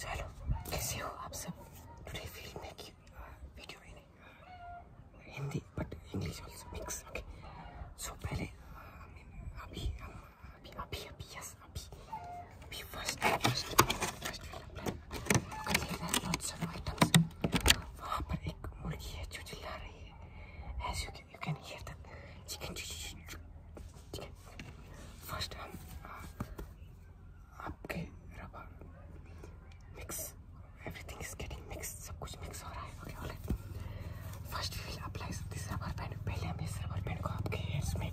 सो hello कैसे हो आप सब today feel making video in Hindi but English also mix okay so पहले uh, अभी हम अभी अभी अभी यस अभी अभी फर्स्ट फर्स्ट फर्स्ट कर ले रहे हैं लॉट्स ऑफ आइटम्स वहाँ पर एक मुर्गी है जो चिल्ला रही है as you you can hear the chicken chicken first हम uh, आपके रबर मिक्स एवरीथिंग कुछ मिक्स हो first we will apply this पहले हम इस रबर बैंड को आपके हेयर्स में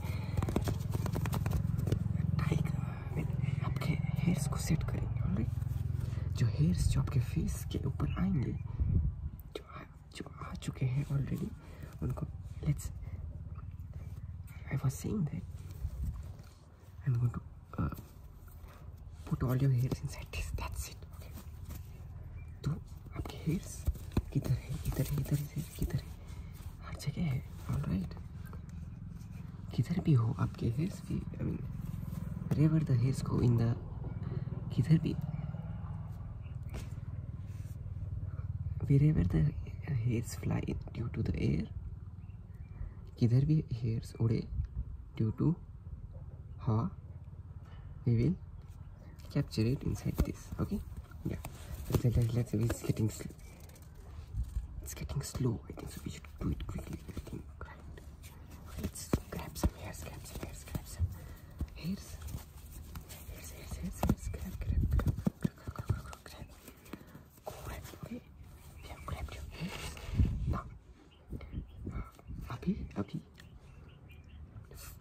आपके हेयर्स को सेट करेंगे ऑल जो हेयर्स जो आपके फेस के ऊपर आएंगे जो आ, जो आ चुके हैं ऑलरेडी उनको let's I was saying that I'm going to uh, put all your hairs inside this. That's it. Okay. तो आपके hairs किधर है इधर है इधर है किधर है हर जगह है ऑल राइट किधर भी हो आपके हेयर्स भी आई मीन रेवर द हेयर्स को इन द किधर भी wherever the hairs fly in due to the air either we hairs उड़े due to ha we will capture it inside this okay yeah let's, let's, it's getting slow it's getting slow i think so we should do it quickly i think right let's grab some hairs grab some hairs grab some hairs hairs hairs hairs, hairs. grab grab grab grab grab grab अभी अभी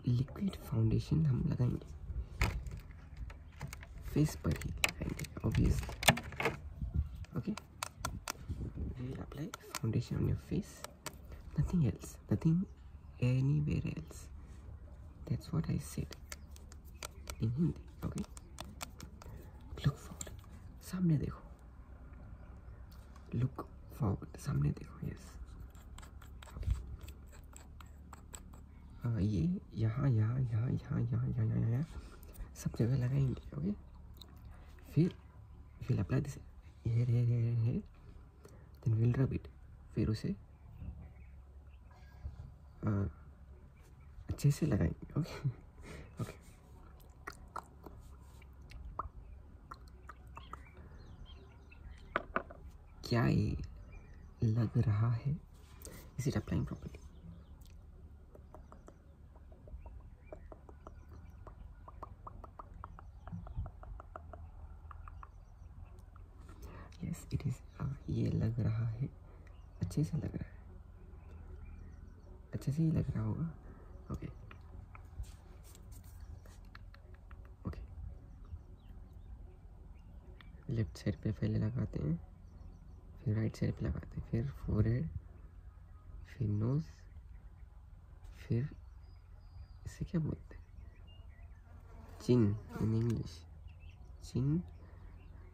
liquid foundation हम लगाएंगे face पर ही लगाएंगे obviously okay we apply foundation on your face nothing else nothing anywhere else That's what I said in Hindi. Okay. Look forward. सामने देखो. Look forward. सामने देखो. Yes. हाँ, ये यहाँ यहाँ यहाँ यहाँ यहाँ यहाँ यहाँ यहाँ सब जगह लगाएंगे ओके फिर will apply this hair hair hair hair then will rub it फिर उसे हाँ, अच्छे से लगाएंगे ओके ओके क्या ये लग रहा है is it applying properly yes it is ये लग रहा है अच्छे से लग रहा है अच्छे से ही लग रहा होगा ओके ओके लेफ्ट साइड पे पहले लगाते हैं फिर राइट साइड पे लगाते हैं फिर फोर हेड फिर नोज़ फिर इसे क्या बोलते हैं chin in English chin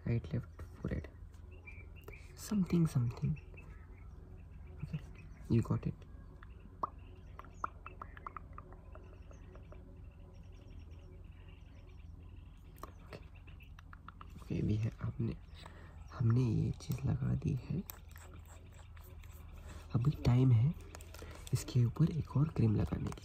right left forehead something something okay you got it okay भी है आपने हमने ये चीज़ लगा दी है अभी टाइम है इसके ऊपर एक और क्रीम लगाने की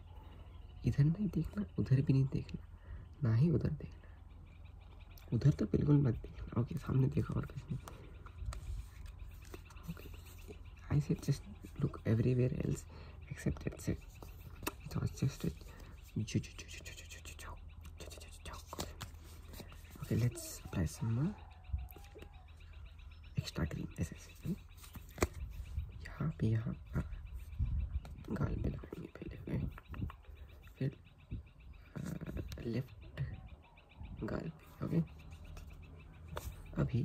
है इधर नहीं देखना उधर भी नहीं देखना ना ही उधर देखना उधर तो बिल्कुल मत देखना ओके सामने देखो और कुछ okay I said just look everywhere else except it's it was just a okay let's apply some more extra green as I said यहाँ पे यहाँ हाँ। गाल पे लगाएंगे पहले ओके फिर लेफ्ट गाल ओके अभी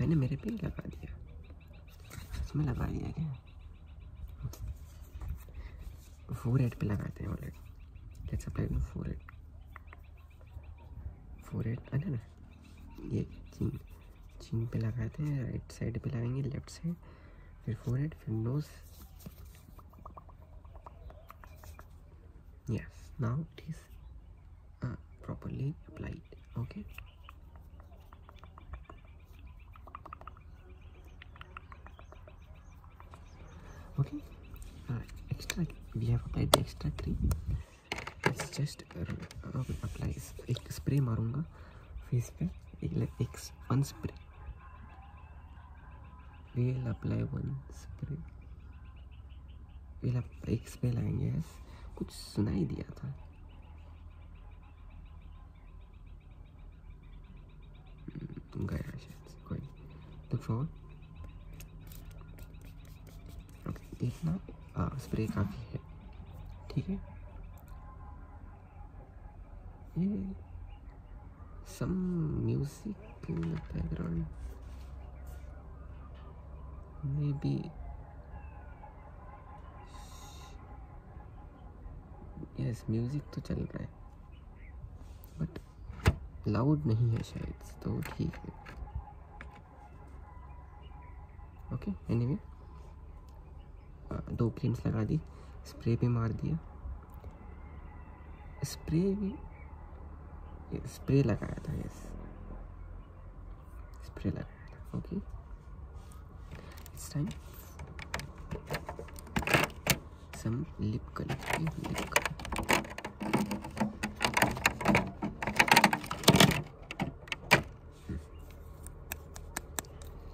मैंने मेरे पे लगा दिया इसमें लगा दिया क्या फोर एड पर लगाते हैं already let's apply to forehead forehead अरे ना ये चीज चीन पे लगाए थे राइट साइड पे लगाएंगे लेफ्ट साइड फिर फोर हेड फिर nose yes now it is uh, properly applied okay okay uh, extra we have applied the extra cream it's just uh, applies एक स्प्रे मारूंगा face पे एक one spray we'll apply one spray we'll apply एक spray लाएंगे yes. कुछ सुनाई दिया था गया शायद कोई look forward okay इतना स्प्रे काफ़ी है ठीक है Yeah. Some music in the background. Maybe. Yes music तो चल रहा है बट लाउड नहीं है शायद तो ठीक है ओके एनीवे दो प्लेट्स लगा दी स्प्रे पे मार दिया स्प्रे भी स्प्रे लगाया था यस स्प्रे लगाया था okay time some lip lip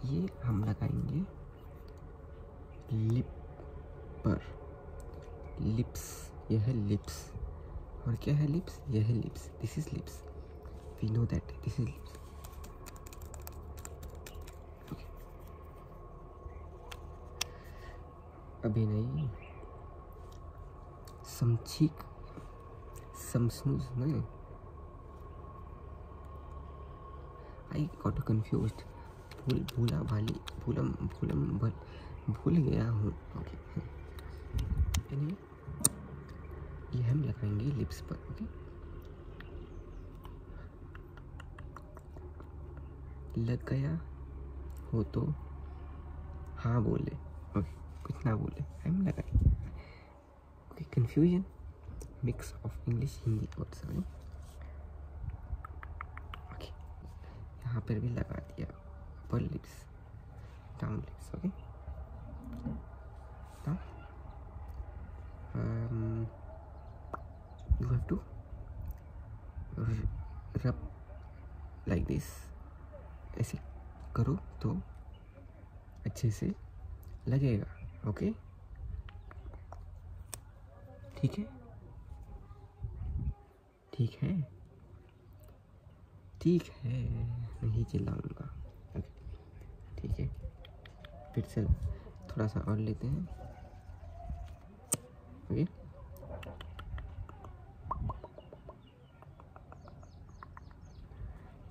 ये हम लगाएंगे लिप पर लिप्स यह है लिप्स और क्या है लिप्स यह है lips this is lips we know that this is lips अभी नहीं समचीक some snooze no I got confused भूल भूला भाली भूलम भूलम भल भूल गया हूँ ओके anyway, ये हम लगाएंगे लिप्स पर लग गया हो तो हाँ बोले ओके कुछ ना बोले हम लगाए Okay, confusion. Mix of English, Hindi और समझ Okay, यहाँ पर भी लगा upper lips, down lips. Okay. Now, um, you have to rub like this. ऐसे करो तो अच्छे से लगेगा ओके ठीक है ठीक है ठीक है नहीं चिल्लाऊंगा ओके ठीक है फिर से थोड़ा सा और लेते हैं ओके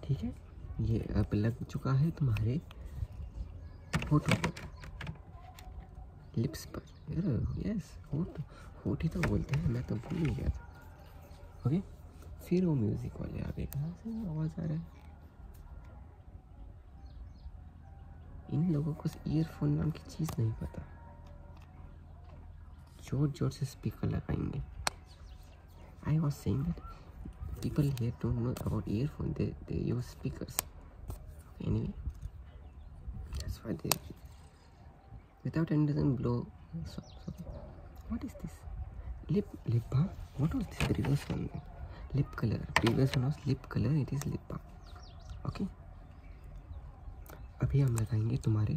ठीक है ये अब लग चुका है तुम्हारे होठों पर लिप्स पर यार यस होठ होठ ही तो बोलते हैं मैं तो भूल ही गया था ओके फिर वो म्यूज़िक वाले आ गए आवाज़ आ रहा है इन लोगों को ईयरफोन नाम की चीज़ नहीं पता जोर जोर से स्पीकर लगाएंगे I was saying that people here don't know about earphone. They they use speakers. Anyway, that's why they without end doesn't blow. So, what is this? Lip lip balm. What was this? The one. Lip color. Previous one was lip color. It is lip balm. Okay. अभी हम लगाएंगे तुम्हारे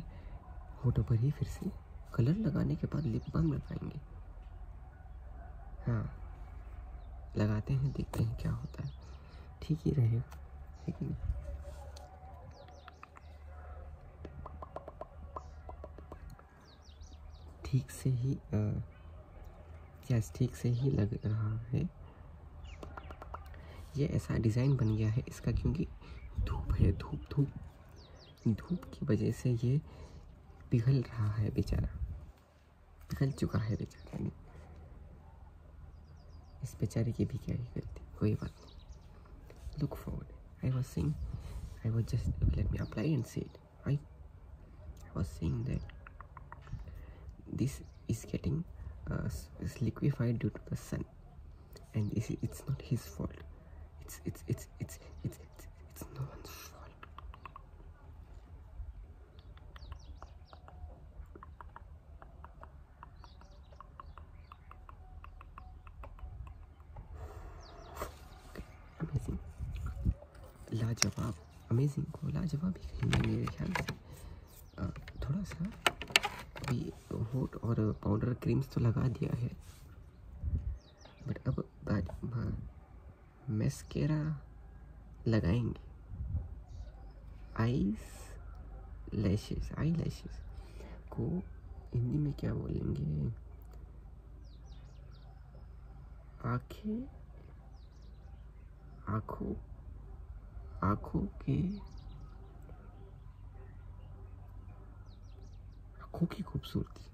होटो पर ही फिर से colour लगाने के बाद लिप बाम लगाएंगे हाँ लगाते हैं देखते हैं क्या होता है ठीक ही रहेगा है कि नहीं ठीक से ही यस ठीक से ही लग रहा है ये ऐसा डिज़ाइन बन गया है इसका क्योंकि धूप है धूप धूप धूप की वजह से ये पिघल रहा है बेचारा पिघल चुका है बेचारा ने इस बेचारे की भी क्या ही गलती कोई बात नहीं look forward I was saying I was just let me apply and set I was saying that this is getting uh, liquefied due to the sun and this, it's not his fault it's it's it's it's it's लाजवाब amazing को लाजवाब ही कहेंगे मेरे ख्याल से थोड़ा सा अभी होट और पाउडर क्रीम्स तो लगा दिया है बट अब मैस्केरा लगाएंगे आईज लैशेस आई लैशेस को हिंदी में क्या बोलेंगे आँखें आँखों आँखों के आँखों की खूबसूरती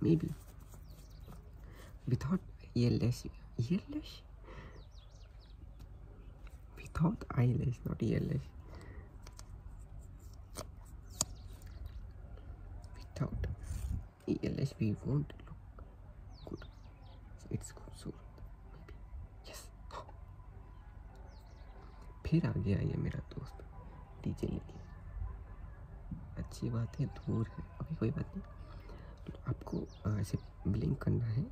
Maybe. We thought ELS. ELS? We thought ILS, not ELS. Without ELS, we won't look good. So it's good, so maybe. Yes. फिर आ गया ये मेरा दोस्त डीजे लेके अच्छी बात है दूर है अभी कोई बात नहीं तो आपको ऐसे ब्लिंक करना है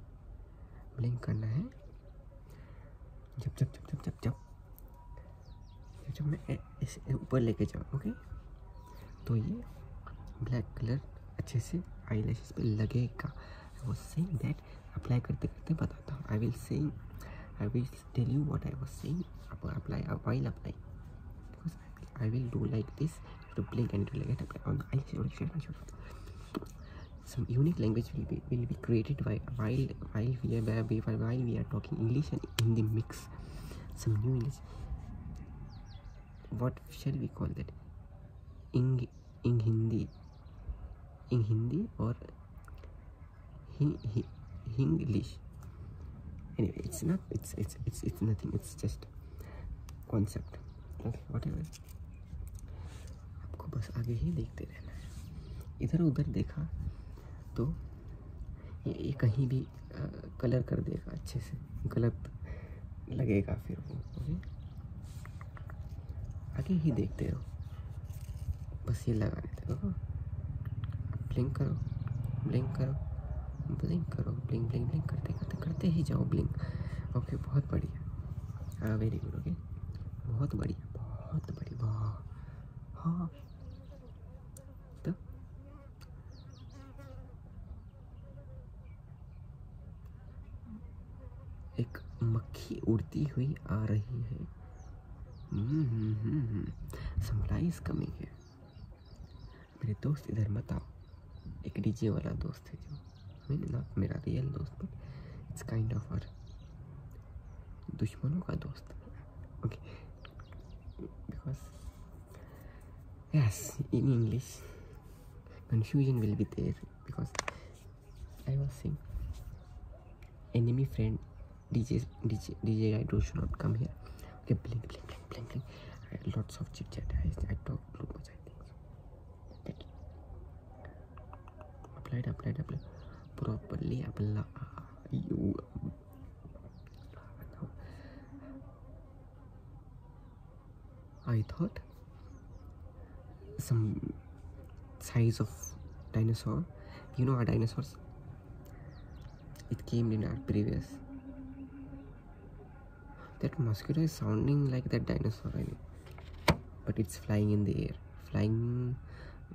ब्लिंक करना है जब जब जब जब जब जब जब जब मैं इसे ऊपर लेके जाऊँ ओके तो ये ब्लैक कलर अच्छे से आई लैशेज पर लगेगा वो वॉज सेइंग दैट अप्लाई करते करते बताता हूँ I will same I will tell you what I was saying apply uh, while apply. because I will do like this to blink and it will get applied on the eyeshadow, eyeshadow. Some unique language will be will be created by while while we are while we are talking English and in the mix some new English. What shall we call that? In in Hindi, in Hindi or He, he, English. Anyway, it's not. It's it's it's it's nothing. It's just concept. Okay, whatever. आपको बस आगे ही देखते रहना है इधर उधर देखा तो ये, ये कहीं भी आ, कलर कर देगा अच्छे से गलत लगेगा फिर वो ओके आगे ही देखते रहो बस ये लगाने देखो ब्लिंक करो ब्लिंक करो ब्लिंक करो ब्लिंक ब्लिंक ब्लिंक करते करते करते ही जाओ ब्लिंक ओके बहुत बढ़िया हाँ वेरी गुड ओके बहुत बढ़िया बहुत बढ़िया बहुत हाँ तो एक मक्खी उड़ती हुई आ रही है mm hmm, hmm, hmm, coming है मेरे दोस्त इधर मत आओ एक डीजे वाला दोस्त है जो मैंने ना मेरा रियल दोस्त नहीं इट्स काइंड ऑफ और दुश्मनों का दोस्त okay because yes in English confusion will be there because I was saying enemy friend DJ, DJ, DJ, I do should not come here. Okay, blink, blink, blink, blink, blink. lots of chit chat. I, I talk too much, I think. So. Thank you. Applied, apply. I thought some size of dinosaur. You know our dinosaurs? it came in our previous. That mosquito is sounding like that dinosaur, I know. But it's flying in the air. Flying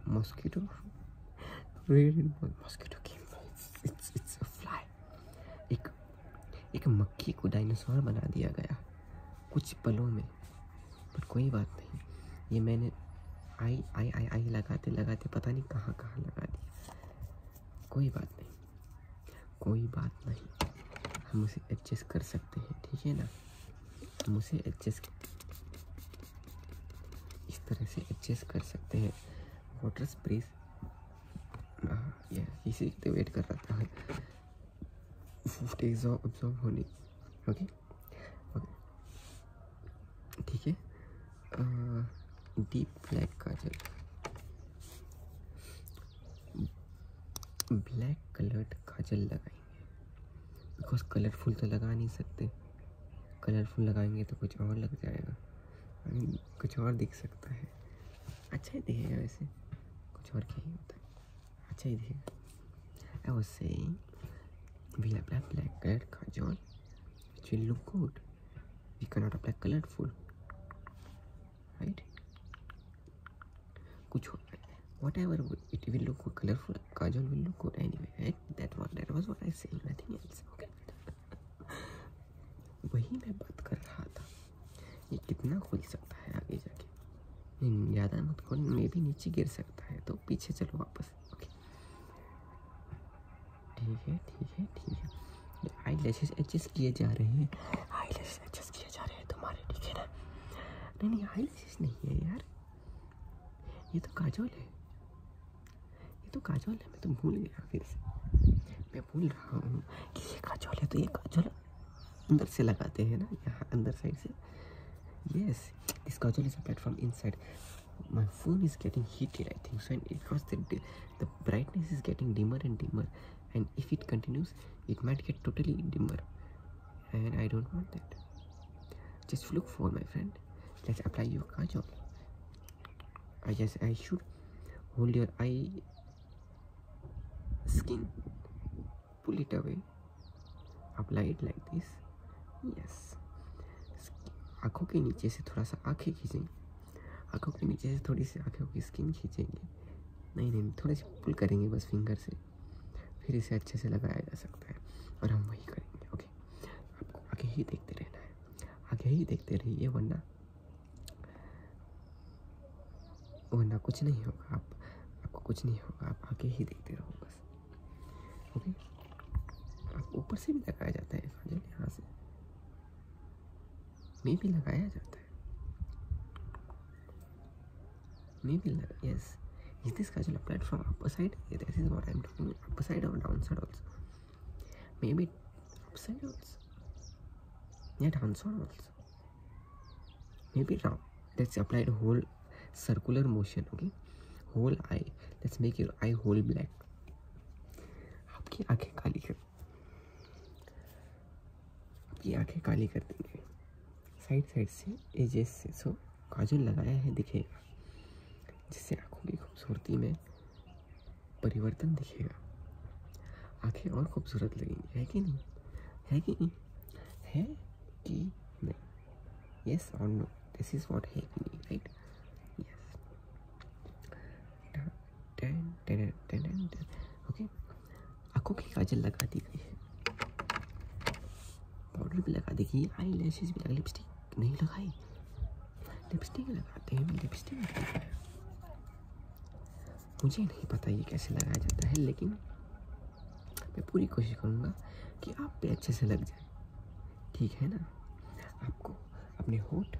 mosquito? really? Mosquito came it's, it's, it's a fly. एक एक मक्खी को dinosaur बना दिया गया कुछ पलों में पर कोई बात नहीं ये मैंने आई आई आई आई लगाते लगाते पता नहीं कहाँ कहाँ लगा दिया कोई बात नहीं कोई बात नहीं हम उसे एडजस्ट कर सकते हैं ठीक है ना हम उसे एडजस्ट इस तरह से एडजस्ट कर सकते हैं वाटर स्प्रे हाँ, इसी तो वेट कर रहा था ओके ओके ठीक है डीप ब्लैक काजल ब्लैक कलर्ड काजल लगाएंगे बिकॉज कलरफुल तो लगा नहीं सकते कलरफुल लगाएंगे तो कुछ और लग जाएगा कुछ और दिख सकता है अच्छा ही दिखेगा वैसे कुछ और क्या ही होता है अच्छा ही दिखेगा I was saying we apply black colour kajal She'll look good. We cannot apply colorful. Right? Kuch whatever it will look good, colorful kajal will look good anyway. Right? That one that was what I saying, nothing else. Okay. वही मैं बात कर रहा था ये कितना खुल सकता है आगे जाके ज़्यादा मत खोल मे भी नीचे गिर सकता है तो पीछे चलो वापस बस ठीक है ठीक है ठीक है आई लैशेज एडजस्ट किए जा रहे हैं आई लैशेज एडजस्ट किए जा रहे हैं तुम्हारे ठीक है ना नहीं नहीं आई लैशेज नहीं है यार ये तो काजोल है ये तो काजोल है मैं तो भूल गया फिर से मैं भूल रहा हूँ कि ये काजोल है तो ये काजोल अंदर से लगाते हैं ना यहाँ अंदर साइड से yes this kajal is a platform inside my phone is getting heated I think so and because the, the brightness is getting dimmer and dimmer and if it continues it might get totally dimmer and I don't want that just look for my friend let's apply your kajal I just I should hold your eye skin pull it away apply it like this yes आँखों के नीचे से थोड़ा सा आँखें खींचेंगे आँखों के नीचे से थोड़ी सी आँखों की स्किन खींचेंगे नहीं नहीं थोड़े से पुल करेंगे बस फिंगर से फिर इसे अच्छे से लगाया जा सकता है और हम वही करेंगे ओके आपको आगे ही देखते रहना है आगे ही देखते रहिए वरना वरना कुछ नहीं होगा आप आपको कुछ नहीं होगा आप आगे ही देखते रहो बस ओके ऊपर से भी लगाया जाता है काजल यहाँ से में भी लगाया जाता है में भी लगा yes is this casual applied from upper side yeah, this is what i'm talking upper side or downside also maybe upside also yeah downside also maybe down let's apply the whole circular motion okay whole eye let's make your eye whole black आपकी आंखें काली कर आपकी आंखें काली कर देंगे side side से एजेस से सो काजल लगाया है दिखेगा जिससे आंखों की खूबसूरती में परिवर्तन दिखेगा आंखें और खूबसूरत लगेंगी है कि नहीं है कि नहीं है कि नहीं yes or no this is what hackney right yes okay की काजल लगा दी गई है भी लगा देखिए आई लैशेज भी लगा लिपस्टिक नहीं लगाई लिपस्टिक लगाते हैं मैं लिपस्टिक लगाया मुझे नहीं पता ये कैसे लगाया जाता है लेकिन मैं पूरी कोशिश करूँगा कि आप भी अच्छे से लग जाए ठीक है ना आपको अपने होट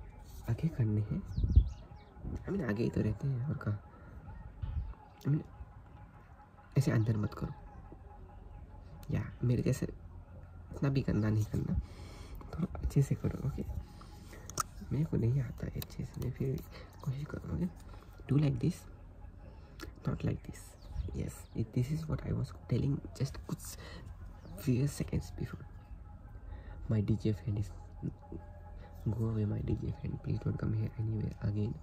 आगे करने हैं आई मीन आगे ही तो रहते हैं और कहाँ मीन ऐसे अंदर मत करो या मेरे जैसे इतना भी करना नहीं करना थोड़ा तो अच्छे से करो ओके मेरे को नहीं आता अच्छे से मैं फिर कोशिश करूँगा do like this not like this yes it, this is what i was telling just good few seconds before my dj friend is go away my dj friend please don't come here anyway again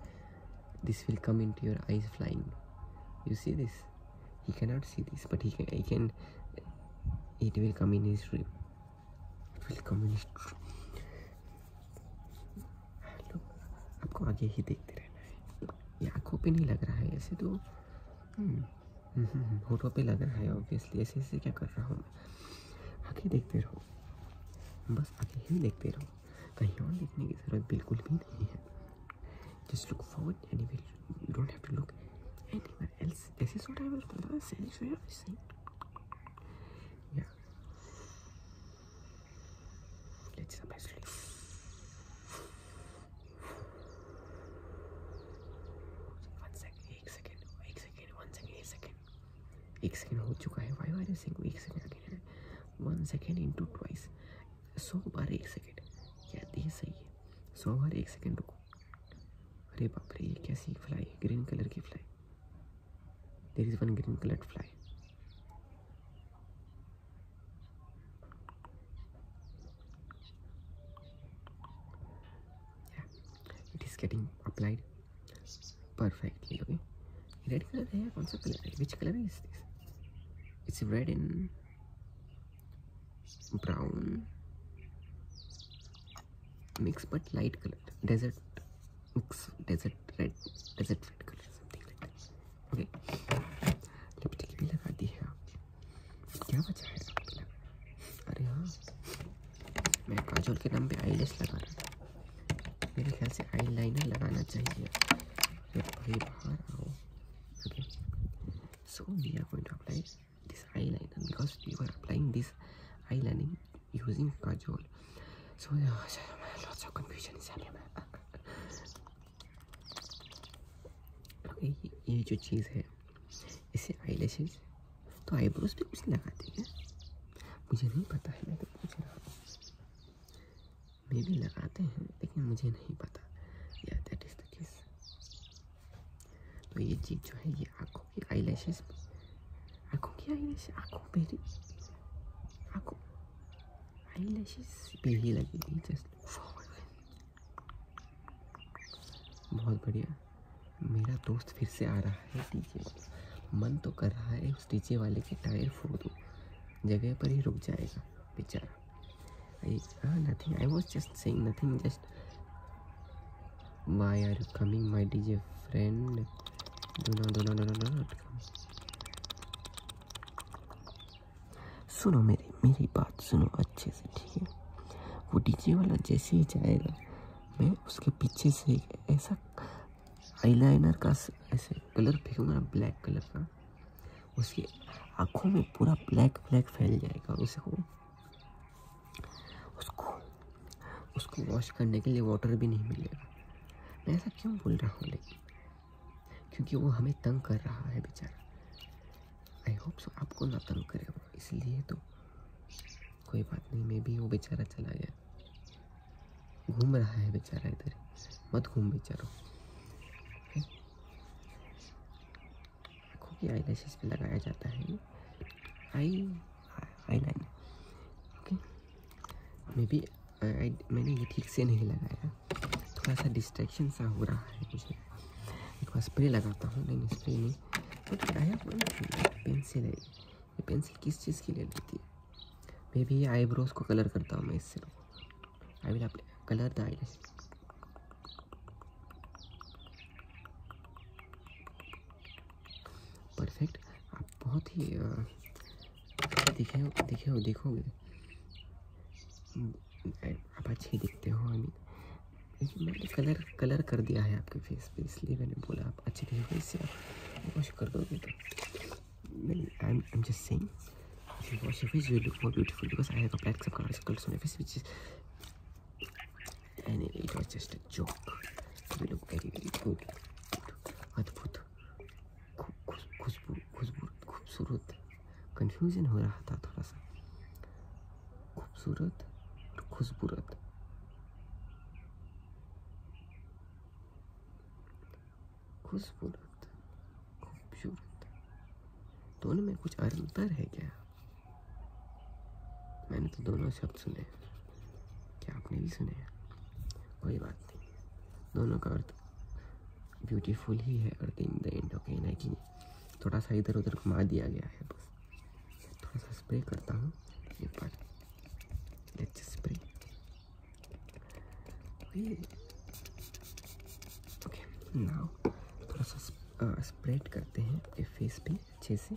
this will come into your eyes flying you see this he cannot see this but he can i can it will come in his dream it will come in his dream आपको आगे ही देखते रहना है ये आंखों पे नहीं लग रहा है ऐसे तो फोटो हम्म। पे लग रहा है ऑब्वियसली ऐसे ऐसे क्या कर रहा हूँ मैं देखते रहो बस आगे ही देखते रहो कहीं और देखने की ज़रूरत बिल्कुल भी नहीं है just look forward any you don't have one second एक सेकेंड एक सेकेंड वन सेकेंड एक सेकेंड हो चुका है फाइव आई सिंग एक second again one second into twice सौ बार एक सेकेंड क्या ये सही है सौ बार एक सेकेंड रुको अरे बाप रे ये कैसी फ्लाई है ग्रीन कलर की fly there is one green colour fly it is getting applied perfectly red color hai kaun color which color is this it's red and brown mix but light color desert mix desert red desert red color something like this. Okay lipstick भी लगा दी है आपकी क्या बचा है अरे हाँ मैं काजोल के नाम पे आई लगा रहा था मेरे ख्याल से आई लाइनर लगाना चाहिए जब भाई बाहर आओ okay so we are going to apply this eye liner because we are applying this eye lining using kajal so lots of confusion is happening ये, जो चीज़ है इसे आई तो आईब्रोज पे कुछ लगाते हैं मुझे नहीं पता है मैं तो पूछ रहा हूँ मे भी लगाते हैं लेकिन मुझे नहीं पता या दैट इज़ द केस तो ये चीज़ जो है ये आँखों की आई लैशेज आँखों की आई लैश आँखों पे ही आँखों आई लैशेज पे ही लगेगी जस्ट बहुत बढ़िया मेरा दोस्त फिर से आ रहा है डीजे मन तो कर रहा है उस डीजे वाले के टायर फोड़ दूँ जगह पर ही रुक जाएगा बेचारा nothing I was just saying nothing just why are coming my DJ friend दोनों दोनों दोनों दोनों सुनो मेरी मेरी बात सुनो अच्छे से ठीक है वो डीजे वाला जैसे ही जाएगा मैं उसके पीछे से एक ऐसा आईलाइनर का ऐसे कलर फेंकूँगा ब्लैक कलर का उसकी आँखों में पूरा ब्लैक ब्लैक फैल जाएगा उसको उसको उसको वॉश करने के लिए वाटर भी नहीं मिलेगा मैं ऐसा क्यों बोल रहा हूँ लेकिन क्योंकि वो हमें तंग कर रहा है बेचारा आई होप सो आपको ना तंग करे वो इसलिए तो कोई बात नहीं मैं भी वो बेचारा चला गया घूम रहा है बेचारा इधर मत घूम बेचारो आँखों आई लैशेज पर लगाया जाता है आई आई लाइन ओके मे भी मैंने ये ठीक से नहीं लगाया है थोड़ा सा डिस्ट्रैक्शन सा हो रहा है मुझे एक बार स्प्रे लगाता हूँ नहीं स्प्रे नहीं तो पेंसिल है ये पेंसिल किस चीज़ की ले लेती है मे भी आईब्रोज को कलर करता हूँ मैं इससे I will colour the eye perfect आप बहुत ही दिखे हो दिखे हो देखोगे आप अच्छे दिखते हो आई मीन लेकिन मैंने कलर कलर कर दिया है आपके फेस पे इसलिए मैंने बोला आप अच्छे दिखोगे इससे आप वॉश कर दोगे तो I am just saying if you wash your face you look more beautiful because I have applied some color circles on my face which is and it was just a joke you look very very good अद्भुत खूबसूरत confusion हो रहा था थोड़ा सा खूबसूरत और खुशबूरत खूबसूरत खूबसूरत दोनों में कुछ अंतर है क्या मैंने तो दोनों शब्द सुने क्या आपने भी सुने कोई बात नहीं दोनों का अर्थ ब्यूटीफुल ही है और in the end okay nineteen नहीं थोड़ा सा इधर उधर घुमा दिया गया है बस थोड़ा सा स्प्रे करता हूँ स्प्रे ओके थोड़ा सा स्प्रेड करते हैं फेस पे अच्छे से